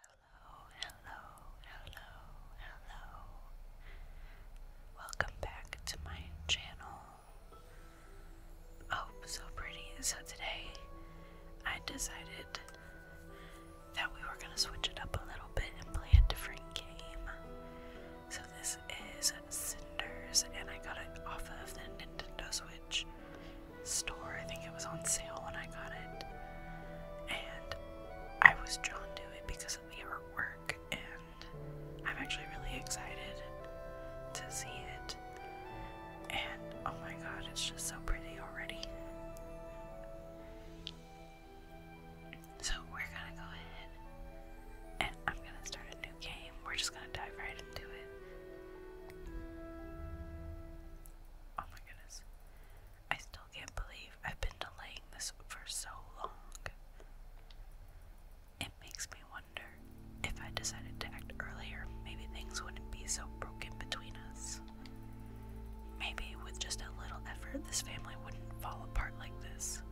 hello, hello, hello. Welcome back to my channel. Oh, so pretty. So today I decided that we were going to switch it up a little bit and play a different game. So this is Cinders, and I got it off of the Nintendo Switch store. I think it was on sale when I got it. And I was drawn to it because of the artwork, and I'm actually really excited to see it. And oh my god, it's just so pretty already. So we're gonna go ahead and I'm gonna start a new game. We're just gonna dive right into it. Oh my goodness. I still can't believe I've been delaying this for so long. It makes me wonder if I decided to act earlier, maybe things wouldn't be so broken between us. Maybe with just a little effort, this family wouldn't fall apart like this.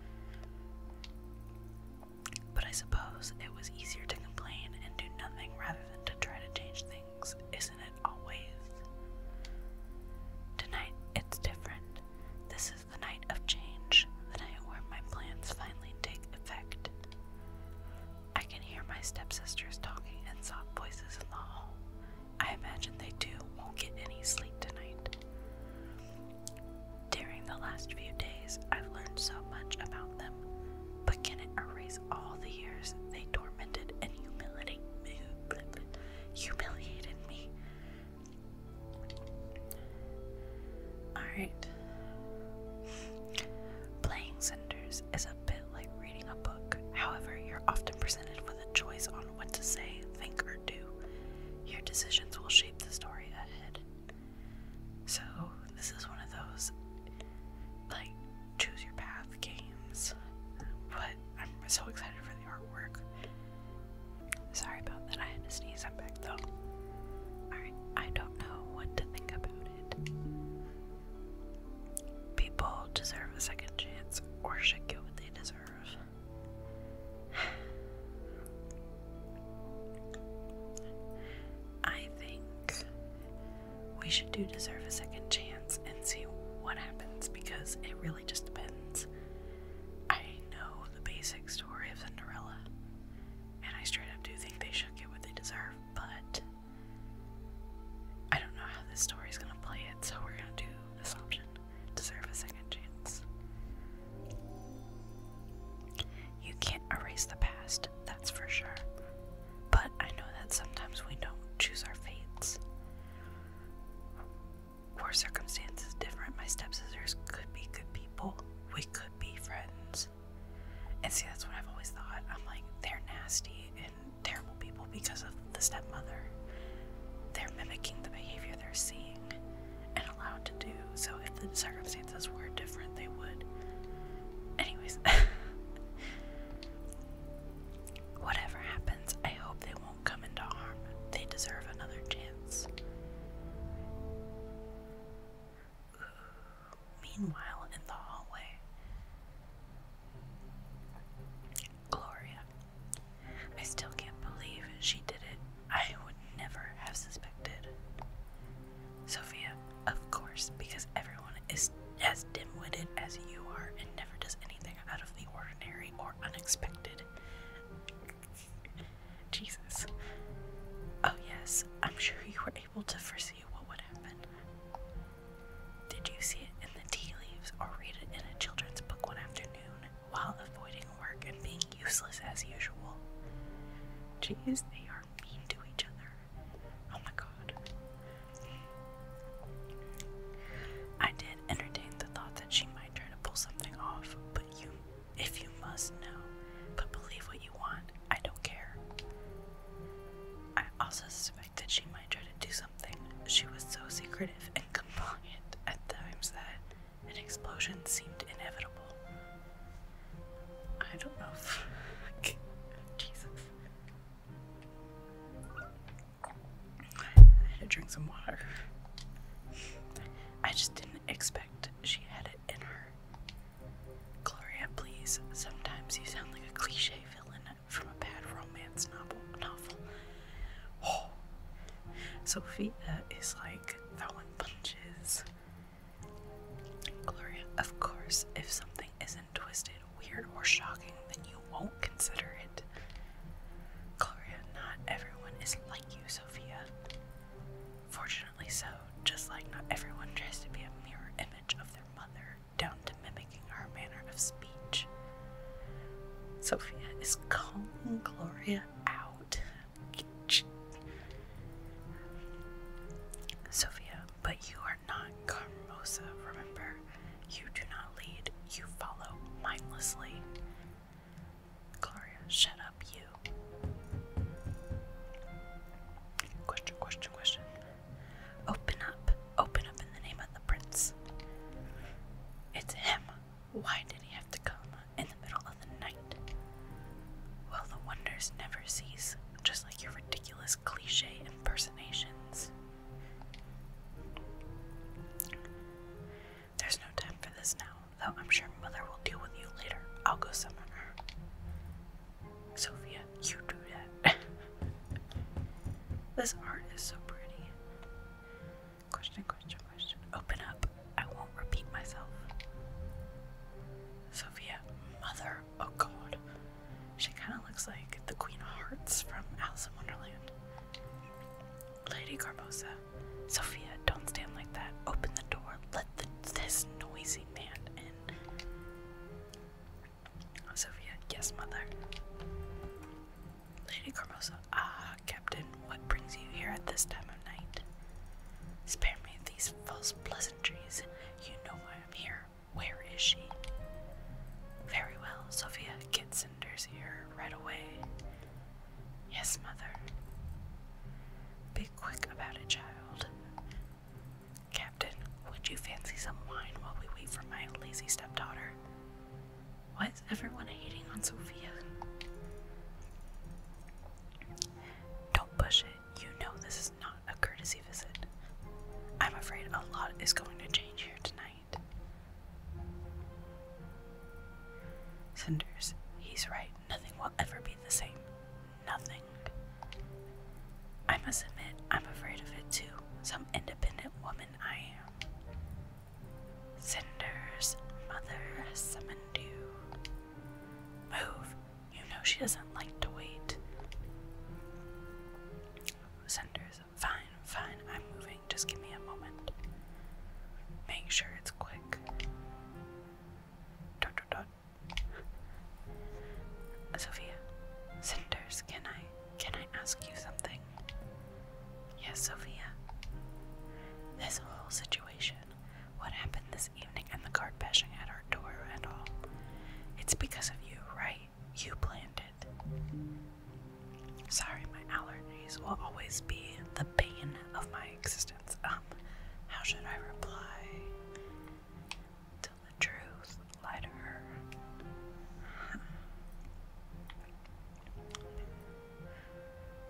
But I suppose it was easier to complain and do nothing rather than to try to change things, isn't it always? Tonight, it's different. This is the night of change, the night where my plans finally take effect. I can hear my stepsisters talking in soft voices in the hall. I imagine they too won't get any sleep tonight. During the last few days, I've learned so much about them, but can it erase all the years they tormented and humiliated me? Humiliated me. Alright. Playing Cinders is a bit like reading a book, however, you're often presented the choice on what to say, think, or do. Your decisions will shape the story ahead. So, this is one of those like choose your path games, but I'm so excited for the artwork. Sorry about that, I had to sneeze. I'm back though. Alright, I don't know what to think about it. People deserve a second chance or should get what they deserve. I think we should do deserve a second chance and see what happens because it really just depends. I know the basic story of Cinderella, and I straight up do think they should get what they deserve, but I don't know how this story is going to play it, so we're going to do this option deserve a second chance. You can't erase the past, that's for sure. But I know that sometimes we don't choose our fates. Or circumstances different. My stepsisters could be good people. We could be friends. And see, that's what I've always thought. I'm like, they're nasty terrible people because of the stepmother. They're mimicking the behavior they're seeing and allowed to do. So if the circumstances were different, they would. Anyways, whatever happens, I hope they won't come into harm. They deserve another chance. Meanwhile, in the hallway, Gloria. I still can't believe she did it. I would never have suspected. Sophia, of course, because everyone is as dim witted as you are and never does anything out of the ordinary or unexpected. Jesus. Oh, yes, I'm sure you were able to foresee what would happen. Did you see it in the tea leaves or read it in a children's book one afternoon while avoiding work and being useless as usual? Jeez, they are mean to each other. Oh my god. I did entertain the thought that she might try to pull something off, but you, if you must know, but believe what you want, I don't care. I also suspect that she might try to do some she was so secretive and compliant at times that an explosion seemed inevitable. I don't know Jesus. I had to drink some water. I just didn't expect she had it in her. Gloria, please. Sometimes you sound like a cliche villain from a bad romance novel. Novel. Oh, Sophia is like throwing punches. Gloria, of course, if something isn't twisted, weird, or shocking, then you won't consider it. Gloria, not everyone is like you, Sophia. Fortunately so, just like not everyone tries to be a mirror image of their mother, down to mimic lacking manner of speech. Sophia is calling Gloria out. Sophia, but you are not Carmosa, remember? You do not lead, you follow mindlessly. Gloria, shut up, you. Question, question, question. Open up. Open up in the name of the prince. It's him. Why did he have to come in the middle of the night? Well, the wonders never cease, just like your ridiculous cliche impersonations. There's no time for this now, though I'm sure Mother will deal with you later. I'll go summon her. Sophia, you do that. this art is so pretty. Question, question, question. Open up. I won't repeat myself. Sophia, mother. Oh god. She kind of looks like the Queen of Hearts from Alice in Wonderland. Lady Garbosa. Sophia, don't stand like that. Open the door. Let this noisy man in. Sophia, yes, mother. Lady Carmosa, ah, Captain, what brings you here at this time of night? Spare me these false pleasantries. You know why I'm here. Where is she? Very well, Sophia, get Senders here right away. Yes, mother. Be quick about it, child. Captain, would you fancy some wine while we wait for my lazy stepdaughter? Why is everyone hating on Sophia? Don't push it. You know this is not a courtesy visit. I'm afraid a lot is going to change here tonight. Cinders, he's right. Nothing will ever be the same. Nothing. I must admit, I'm afraid of it too. Some independent woman I am. Cinder's mother has summoned you. Move! You know she doesn't like to wait. Cinder's fine, fine, I'm moving. Just give me a moment. Make sure it's quick. Dot, dot, dot. Sophia, Cinders, can I? Can I ask you something? Yes, Sophia. This whole situation, what happened this evening and the card bashing at our door and all, it's because of you, right? You planned it. Sorry, my allergies will always be the pain of my existence. Um, how should I reply? Tell the truth, lie to her.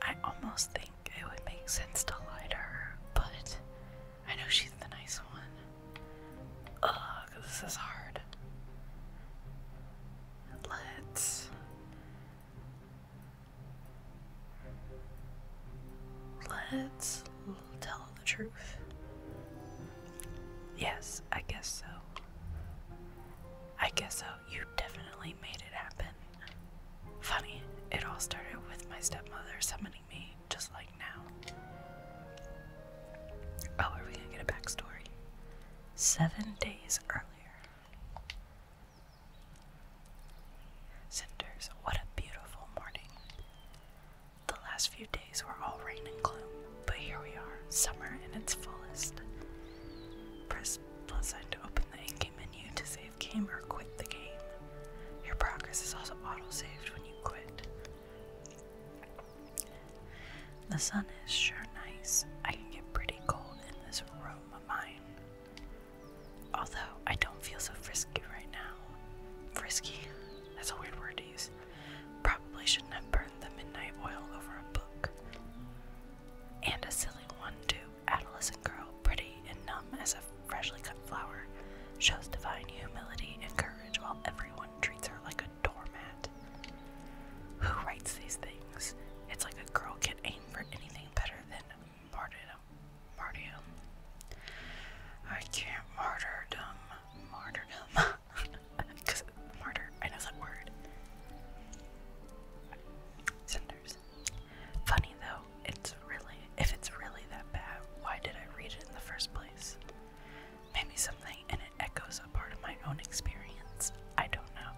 I almost think it would make sense to lie to her, but I know she's the nice one. Ugh, this is hard. Let's. Let's tell the truth. Yes, I guess so. I guess so. You definitely made it happen. Funny, it all started with my stepmother summoning me, just like now. Oh, are we gonna get a backstory? Seven days earlier. Cinders, what a beautiful morning. The last few days were all rain and gloom. But here we are, summer in its fullest. Press plus sign to open the in-game menu to save game or quit the game. Your progress is also auto-saved when you quit. The sun is sure nice. I can get pretty cold in this room of mine. Although I don't feel so frisky right now. Frisky? That's a weird word to use. Probably shouldn't have burned the midnight oil over a book. And a silly one, too. Adolescent girl, pretty and numb as a freshly cut flower, shows divine humility and courage while everyone treats her like a doormat. Who writes these things? It's like a girl can't aim for anything better than martyrdom. Martyrdom. I can't martyrdom. Martyrdom. martyr, I know that word. Cinders. Funny though, it's really, if it's really that bad, why did I read it in the first place? Maybe something in it echoes a part of my own experience. I don't know.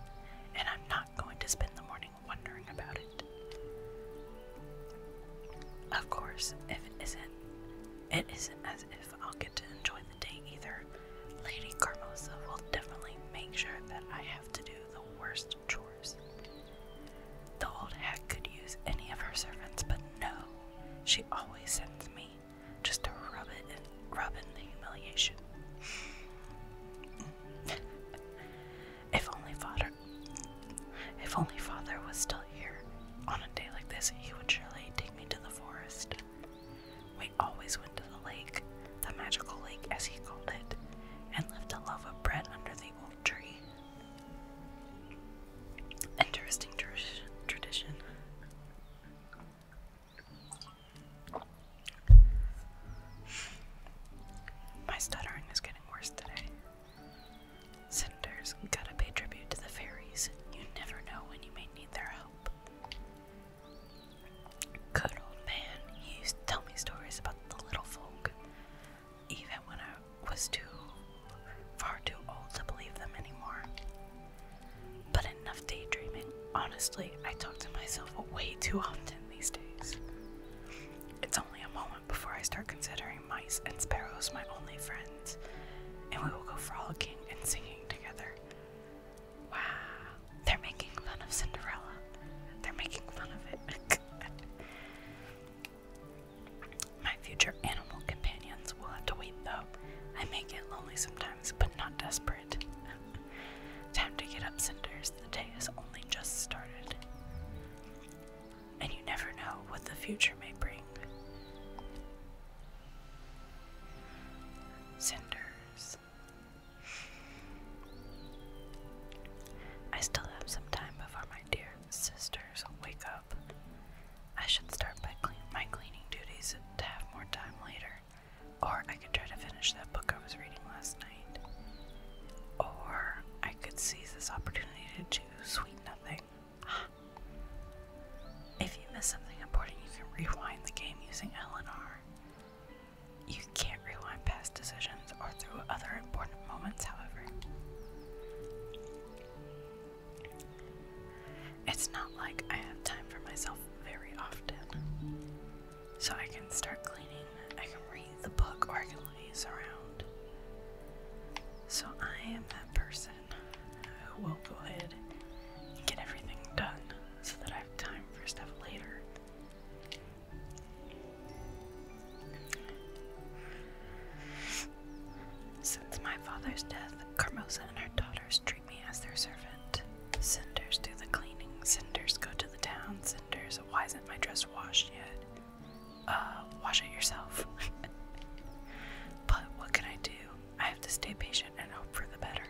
And I'm not going to spend the morning wondering about it. Of course, if it isn't, it isn't as if I'll get to enjoy the day either. Lady Carmosa will definitely make sure that I have to do the worst chores. The old hag could use any of her servants, but no, she always sends me just to rub it in, rub in the humiliation. if only father, if only father was still here on a day like this, he would surely take me to the forest. We always went to the lake, the magical lake as he called it, and left a loaf of bread under the old tree. Interesting tradition. My stuttering is getting worse today. Senators, gotta pay tribute to the fairies. You never know when you may need their help. Good old man, he used to tell me stories about the little folk, even when I was too far too old to believe them anymore. But enough daydreaming. Honestly, I talk to myself way too often these days. It's only a moment before I start considering mice and sparrows my only friends, and we will go frolicking and singing together. Wow, they're making fun of Cinderella. They're making fun of it. My future animal companions will have to wait though. I may get lonely sometimes, but not desperate. Time to get up, Cinders. The day has only just started. And you never know what the future may bring. Cinders. I still have some time before my dear sisters wake up. I should start by clean my cleaning duties to have more time later, or I could try to finish that book I was reading last night, or I could seize this opportunity to choose sweet nothing. if you miss something important, you can rewind the game using LNR. You can't rewind past decisions or through other important moments, however. It's not like I have time for myself very often. So I can start cleaning, I can read the book, or I can laze around. So I am that person who will go ahead and get everything done so that I have time for stuff later. Since my father's death, Carmosa and her daughters treat me as their servant. Cinders do the cleaning, Cinders go to the town, Cinders, why isn't my dress washed yet? Uh, wash it yourself. but what can I do? I have to stay patient and hope for the better.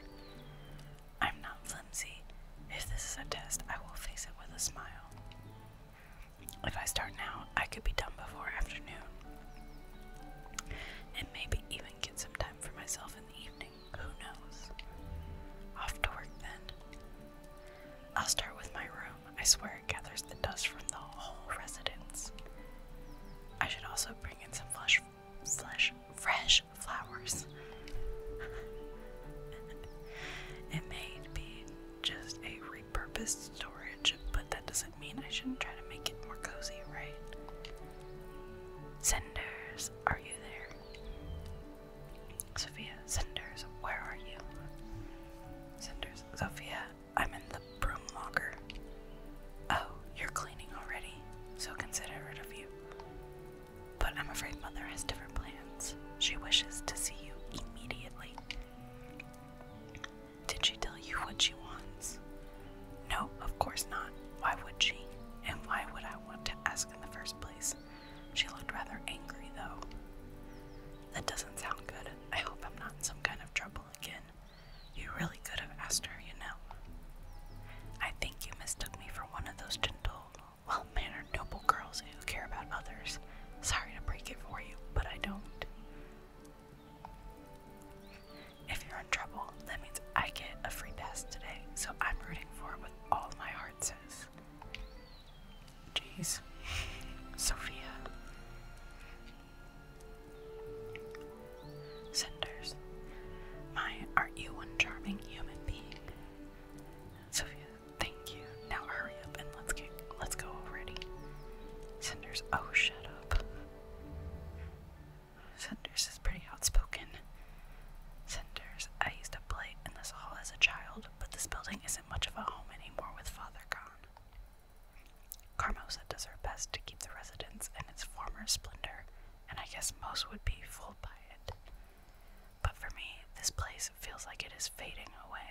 I'm not flimsy. If this is a test, I will face it with a smile. If I start now, I could be done before afternoon. And maybe even get some time for myself in the evening. Who knows? Off to work then. I'll start with my room. I swear it gathers the dust from the whole residence. I should also bring in some flesh, flesh, fresh flowers. it may be just a repurposed storage, but that doesn't mean I shouldn't try to make it more cozy, right? Cinders, are you there? Sophia, Cinders, where are you? Cinders, Sophia, I'm in the broom locker. Oh, you're cleaning already, so considerate of you. But I'm afraid Mother has different plans. She wishes to see you immediately. Did she tell you what she wants? No, of course not. Why would she? And why would I want to ask in the first place? She looked rather angry, though. That doesn't sound good. I hope I'm not in some kind of trouble again. You really could have asked her, you know. I think you mistook me for one of those gentle, well mannered, noble girls who care about others. Sorry to break it for you, but I don't. If you're in trouble, that means I get a free pass today, so I'm rooting for it with all my heart, says. Jeez. Sophia. Cinders. My, aren't you one charming human being? Sophia, thank you. Now hurry up and let's get let's go already. Cinders, oh shut up. Cinders is pretty outspoken. Cinders, I used to play in this hall as a child, but this building isn't much of a home anymore with father gone. Carmosa does her best to keep the residence in its former splendor, and I guess most would be fooled by it. But for me, this place feels like it is fading away.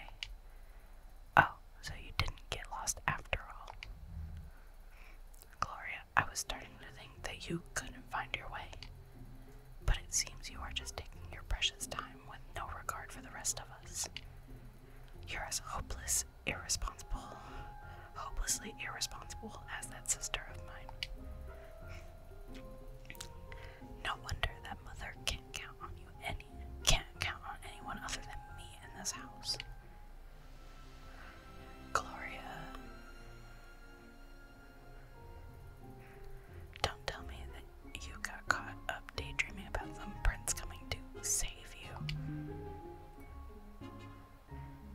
Oh, so you didn't get lost after all. Gloria, I was starting to think that you couldn't find your way. But it seems you are just taking your precious time with no regard for the rest of us. You're as hopeless, irresponsible, hopelessly irresponsible as that sister of mine. No wonder that mother can't count on you any can't count on anyone other than me in this house. Gloria Don't tell me that you got caught up daydreaming about some prince coming to save you.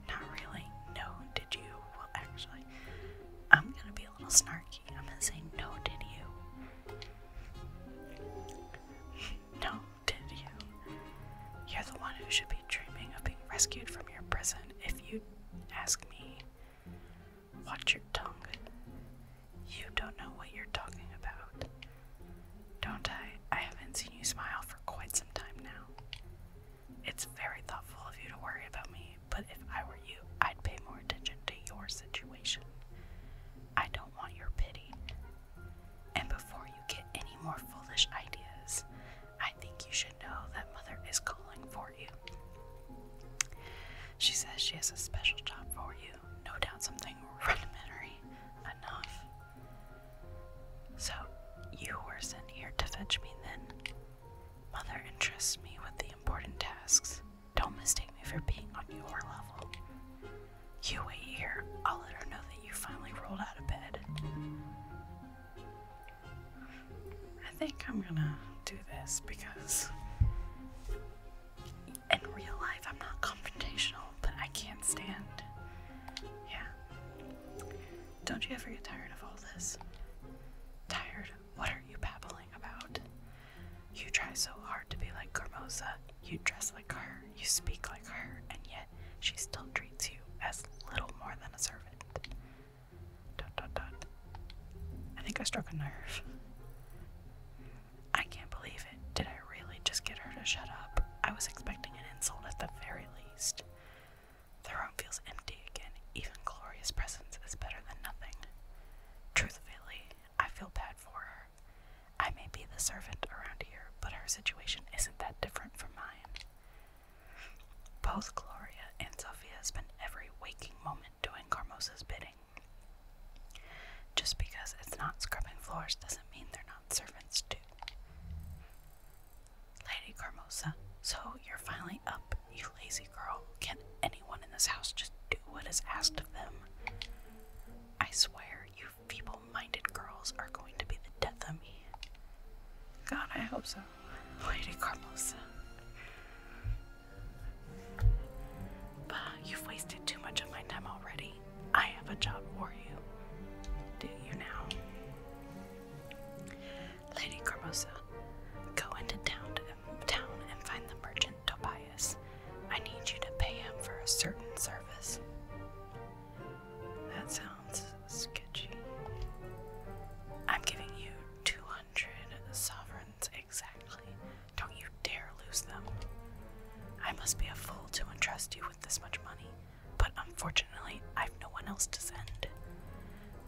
Not really. No, did you? Well, actually, I'm going to be a little snarky. I'm going to say, No, did you? no, did you? You're the one who should be dreaming of being rescued from your prison. If you ask me, watch your tongue. You don't know what you're talking about. Don't I? I haven't seen you smile for quite some time now. It's very thoughtful of you to worry about me, but if I were you, I'd pay more attention to your situation. I don't want your pity. And before you get any more foolish ideas, I think you should know that Mother is calling for you. She says she has a special job for you, no doubt something rudimentary enough. So, you were sent here to fetch me then? Mother entrusts me with the important tasks. Don't mistake me for being on your level. You wait here. I'll let her know that you finally rolled out of bed. I think I'm gonna do this because in real life I'm not confrontational, but I can't stand. Yeah. Don't you ever get tired of all this? Tired? What are you babbling about? You try so hard to be like Carmosa, you dress like her, you speak like her, and yet she still treats you as little more than a servant. Dot dot dot. I think I struck a nerve. I can't believe it. Did I really just get her to shut up? I was expecting an insult at the very least. The room feels empty again. Even Gloria's presence is better than nothing. Truthfully, I feel bad for her. I may be the servant around here, but her situation isn't that different from mine. Both Gloria and Sophia spend every waking moment doing Carmosa's bidding. Just because it's not scrubbing floors doesn't mean they're not servants, too. Lady Carmosa, so you're finally up, you lazy girl. Can anyone in this house just do what is asked of them? I swear, you feeble minded girls are going to be the death of me. God, I hope so. Lady Carmosa. Bah, you've wasted too much of my time already. I have a job for you. Do you now? Lady Carmosa, go into town, town and find the merchant Tobias. I need you to pay him for a certain service. That sounds sketchy. I'm giving you 200 sovereigns exactly. Don't you dare lose them. I must be a fool to entrust you with this much money but unfortunately, I've no one else to send.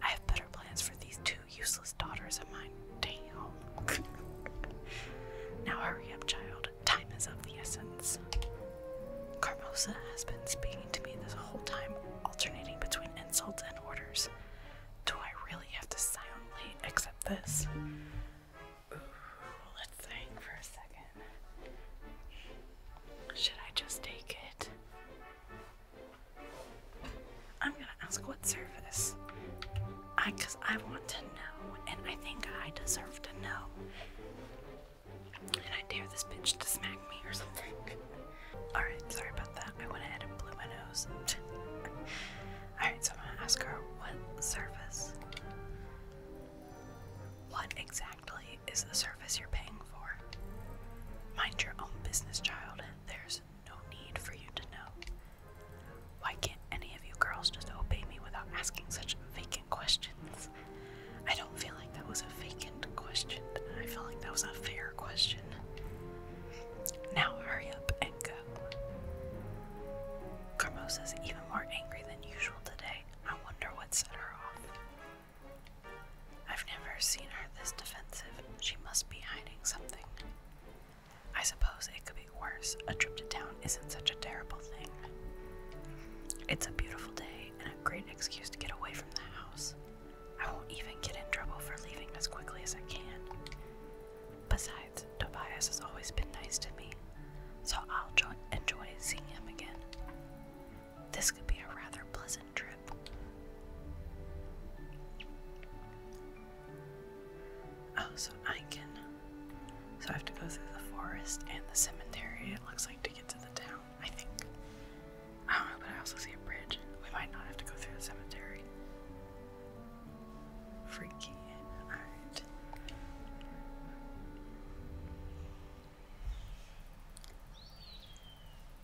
I have better plans for these two useless daughters of mine. Damn. now hurry up, child. Time is of the essence. Carmosa has been speaking to me this whole time, alternating between insults and orders. Do I really have to silently accept this? let's think for a second. Should I just take it? I'm gonna ask what service. I, cause I want to know, and I think I deserve to know. And I dare this bitch to smack me or something. Alright, sorry about that. I went ahead and blew my nose. Alright, so I'm gonna ask her what service. What exactly? is the service you're paying for? Mind your own business, child. There's no need for you to know. Why can't any of you girls just obey me without asking such vacant questions? I don't feel like that was a vacant question. I feel like that was a fair question. Now hurry up and go. Carmosa's even more angry than usual today. I wonder what set her off. I've never seen her this defensive. She must be hiding something. I suppose it could be worse. A trip to town isn't such a terrible thing. It's a beautiful day and a great excuse to get away from the house. I won't even get in trouble for leaving as quickly as I can. Besides, Tobias has always been nice to me, so I'll enjoy seeing him again. This could be a rather pleasant trip. Oh, so I can. So I have to go through the forest and the cemetery, it looks like, to get to the town, I think. I don't know, but I also see a bridge. We might not have to go through the cemetery. Freaky. Alright.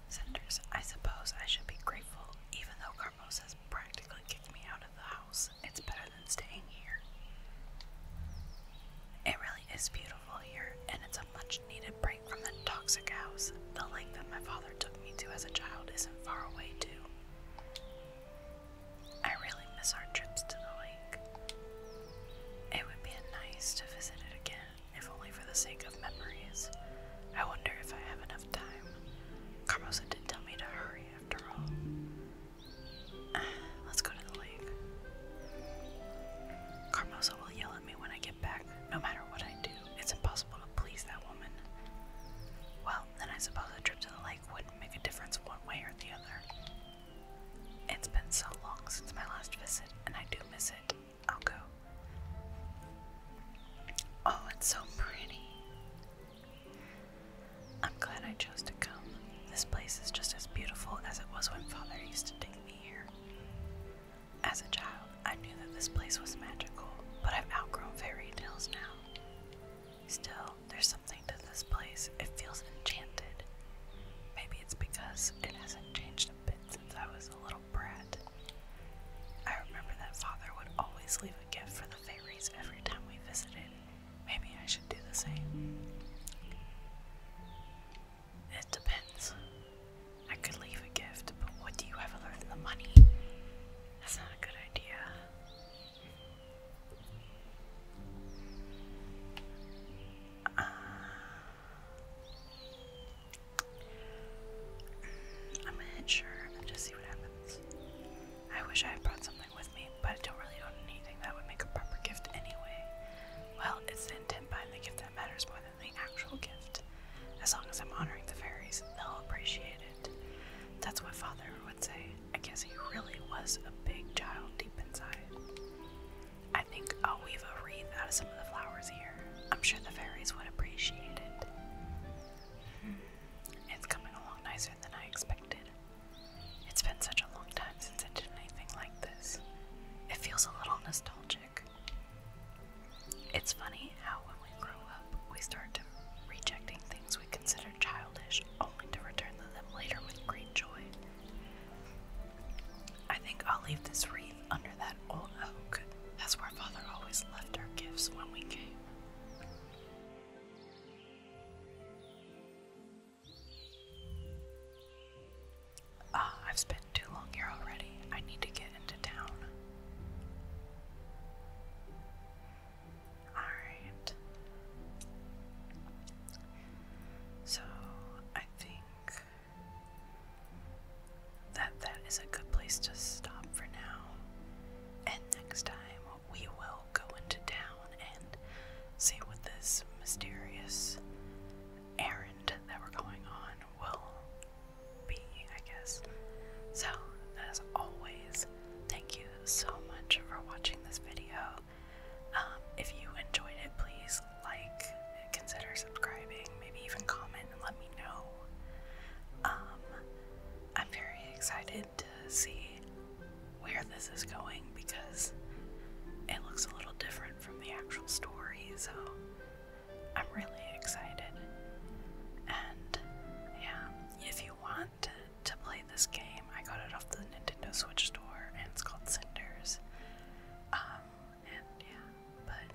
Senders, I suppose I should be grateful, even though Carmos has practically kicked me out of the house. It's better than staying here. It really is beautiful here, and it's a much needed break from the toxic house. The lake that my father took me to as a child isn't far away, too. I really miss our trips to the lake. It would be nice to visit it again if only for the sake of memories. I wonder if I have enough time. Carmosa did tell me to hurry after all. Uh, let's go to the lake. Carmosa will yell at me when I get back, no matter what I do. It's impossible to please that woman. Well, then I suppose a trip to the lake wouldn't make a difference one way or the other. It's been so long since my last visit, and I do miss it. I'll go. Oh, it's so pretty. I'm glad I chose to come. This place is just as beautiful as it was when Father used to take me here. As a child, I knew that this place was magical, but I've outgrown fairy tales now. Still, there's something to this place. It feels enchanted. Maybe it's because it hasn't changed a bit since I was a little brat. I remember that father would always leave a gift for the fairies every time we visited. Maybe I should do the same. It depends. I could leave a gift, but what do you have other in the money? That's not a good idea. Uh, I'm gonna hit sure and just see what happens. I wish I had brought something with me, but I don't really own anything that would make a proper gift anyway. Well, it's the intent behind the gift that matters more than the actual gift. As long as I'm honoring the fairies, they'll appreciate it. That's what Father would say. I guess he really was a big child deep inside. I I think I'll weave a wreath out of some of the flowers here. I'm sure the fairies would appreciate it. Hmm. It's coming along nicer than I expected. It's been such a long time since I did anything like this. It feels a little nostalgic. It's funny how when we grow up, we start rejecting things we consider childish only to return to them later with great joy. I think I'll leave this wreath under that old oak. That's where Father always left our gifts when we came. Ah, I've spent too long here already. I need to get into town. Alright. So, I think that that is a good place to stop for now. And next time we will go into town and see what this mysterious errand that we're going on will be, I guess. So, as always, thank you so much for watching this video. Um, if you enjoyed it, please like, consider subscribing, maybe even comment and let me know. Um, I'm very excited to see where this is going because it looks a little different from the actual story, so I'm really excited. And yeah, if you want to, play this game, I got it off the Nintendo Switch store and it's called Cinders. Um, yeah, but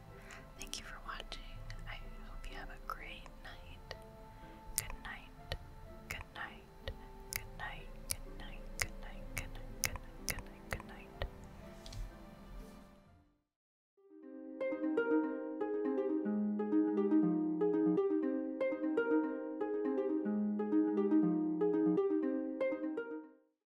thank you for watching. I hope you have a great night. Good night. Good night. Good night. Good night. Good night. Good night. Good night. Good night. Good night.